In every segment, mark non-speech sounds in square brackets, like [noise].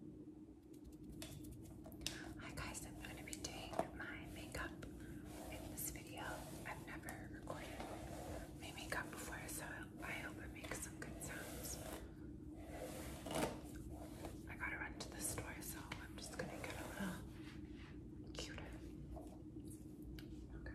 Hi guys, I'm going to be doing my makeup in this video. I've never recorded my makeup before, so I hope it makes some good sounds. I gotta run to the store, so I'm just gonna get a little cuter. Okay.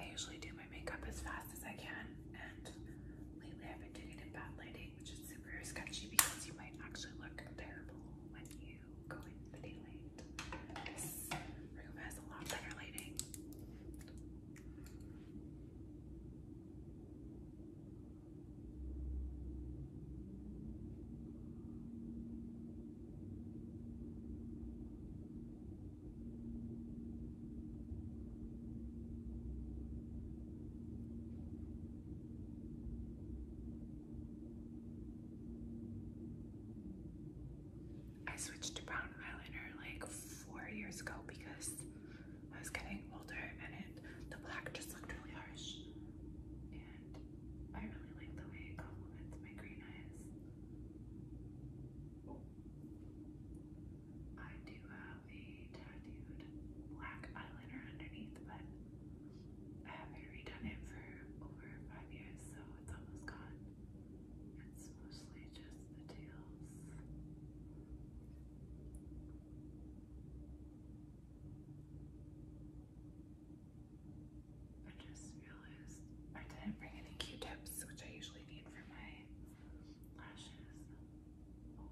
I usually do my makeup as fast as I can, and lately I've been doing it in bad lighting, which is super sketchy because you might actually look terrible when you you room has a lot better lighting. I switched to brown eyeliner like four years ago because I was getting older and it, the black just looked really harsh. And I really like the way it complements my green eyes. I do have a tattooed black eyeliner underneath, but I haven't redone it for over five years, so it's almost gone. It's mostly just the tails. I just realized I didn't bring any Q-tips, which I usually need for my lashes. Oh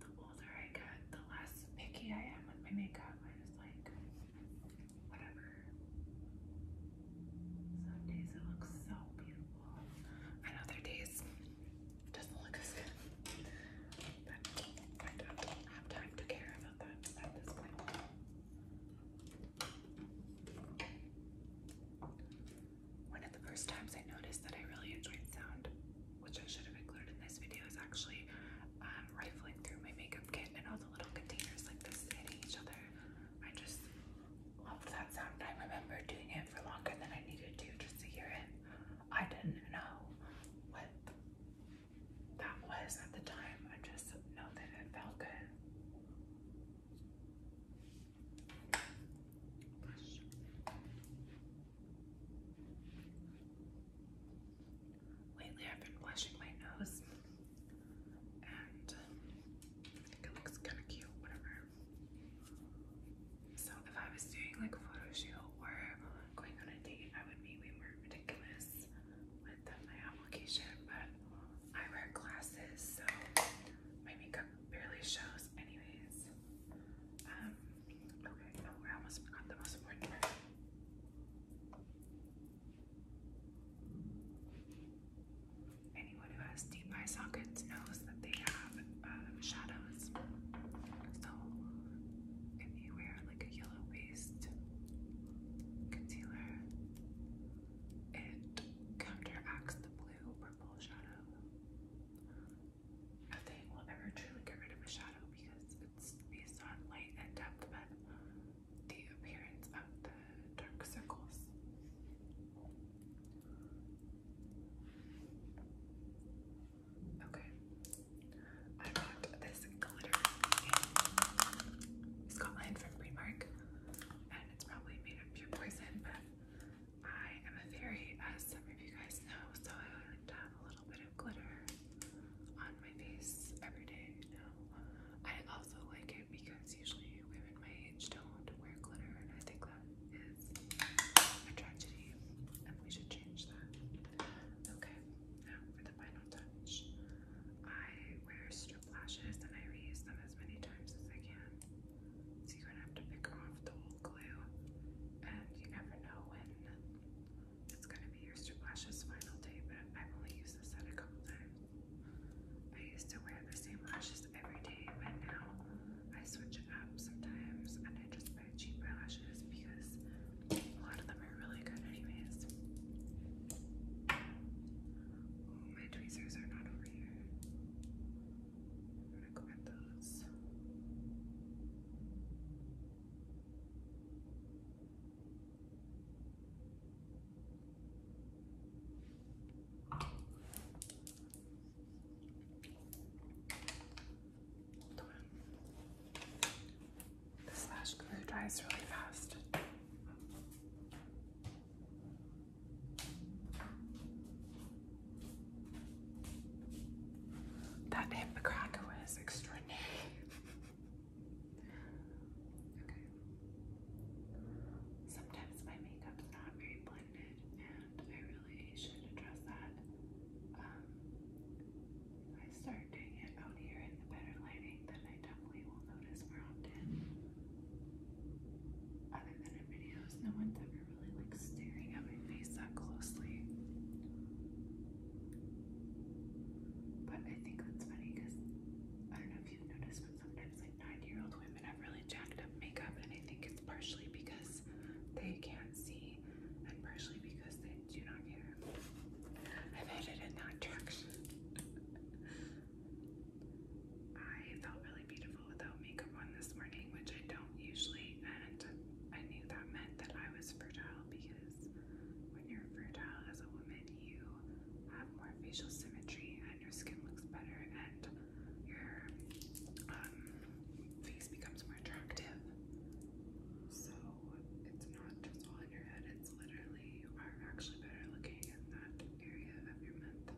the older I get, the less picky I am with my makeup. I just like whatever. Some days it looks so beautiful, and days doesn't look as good. But I don't have time to care about that at this point. One of the first times I noticed that I really enjoyed sound, which I should have included in this video, is actually um, rifling through my makeup kit and all the little containers like this and each other. I just loved that sound. I remember doing it for longer than I needed to just to hear it. I didn't know what that was at the time. I just know that it felt good. Lately, I've been blushing my nose, and I think it looks kind of cute, whatever. So, if I was doing like a photo shoot or going on a date, I would be way more ridiculous with my application. But I wear glasses, so my makeup barely shows, anyways. Um, Okay, oh, I almost forgot the most important Anyone who has deep eye sockets knows that they have um, shadows. So, if you wear like a yellow paste concealer, it counteracts the blue purple shadow. I think we will never truly get rid of a shadow because it's based on light and depth, but the appearance of the dark circles. Okay, I got this glitter in Scotland from Primark, and it's probably made of pure poison, I am a fairy, as some of you guys know, so I like to have a little bit of glitter on my face every day I also like it because usually women my age don't wear glitter, and I think that is a tragedy, and we should change that. Okay, now for the final touch. I wear strip lashes and I reuse them as many times as I can. So you're gonna have to pick off the glue, and you never know when it's going to be your Splash's final day, but I've only used this a couple times. I used to wear the same lashes every day, but now I switch it up sometimes and I just buy cheap eyelashes because a lot of them are really good anyways. Oh, my tweezers are not over here. I'm gonna those. Hold on. glue dries really fast. That Hippocracker was extraordinary. okay. Sometimes my makeup's not very blended, and I really should address that. if um, I start doing it out here in the better lighting, then I definitely will notice more often. Other than in videos, no one's ever really like staring at my face that closely. But I think that's funny because I don't know if you've but sometimes like 90 year old women have really jacked up makeup, and I think it's partially because they can't see and partially because they do not care. I've headed in that direction. [laughs] I felt really really beautiful without makeup on this morning, which I don't usually, and I knew that meant that I was fertile because when you're fertile as a woman, you have more facial symmetry and your skin looks better and your um, face becomes more attractive. So it's not just all in your head, it's literally you are actually better looking in that area of your mouth.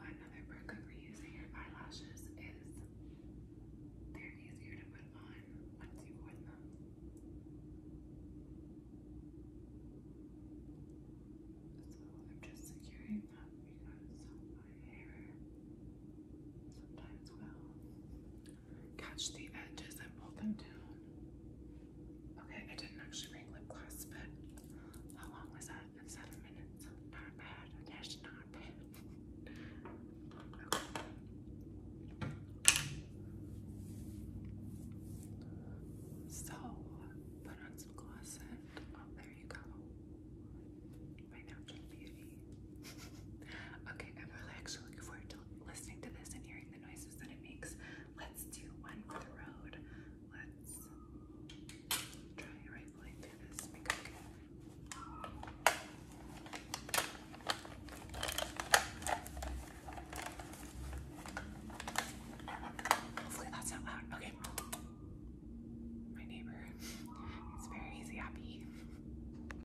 Another perk for using your eyelashes is they're easier to put on once you wear them. So I'm just securing them because my hair sometimes will catch the edges and pull them down. Okay, I didn't actually bring lip gloss, but how long was that? seven minutes. Not bad. Yes, not bad. So, put on some gloss and oh, there you go. My natural beauty. [laughs] okay, I'm really looking forward to listening to this and hearing the noises that it makes. Let's do one for the road. Let's try right through this Hopefully that's not loud. Okay. My neighbor is very happy.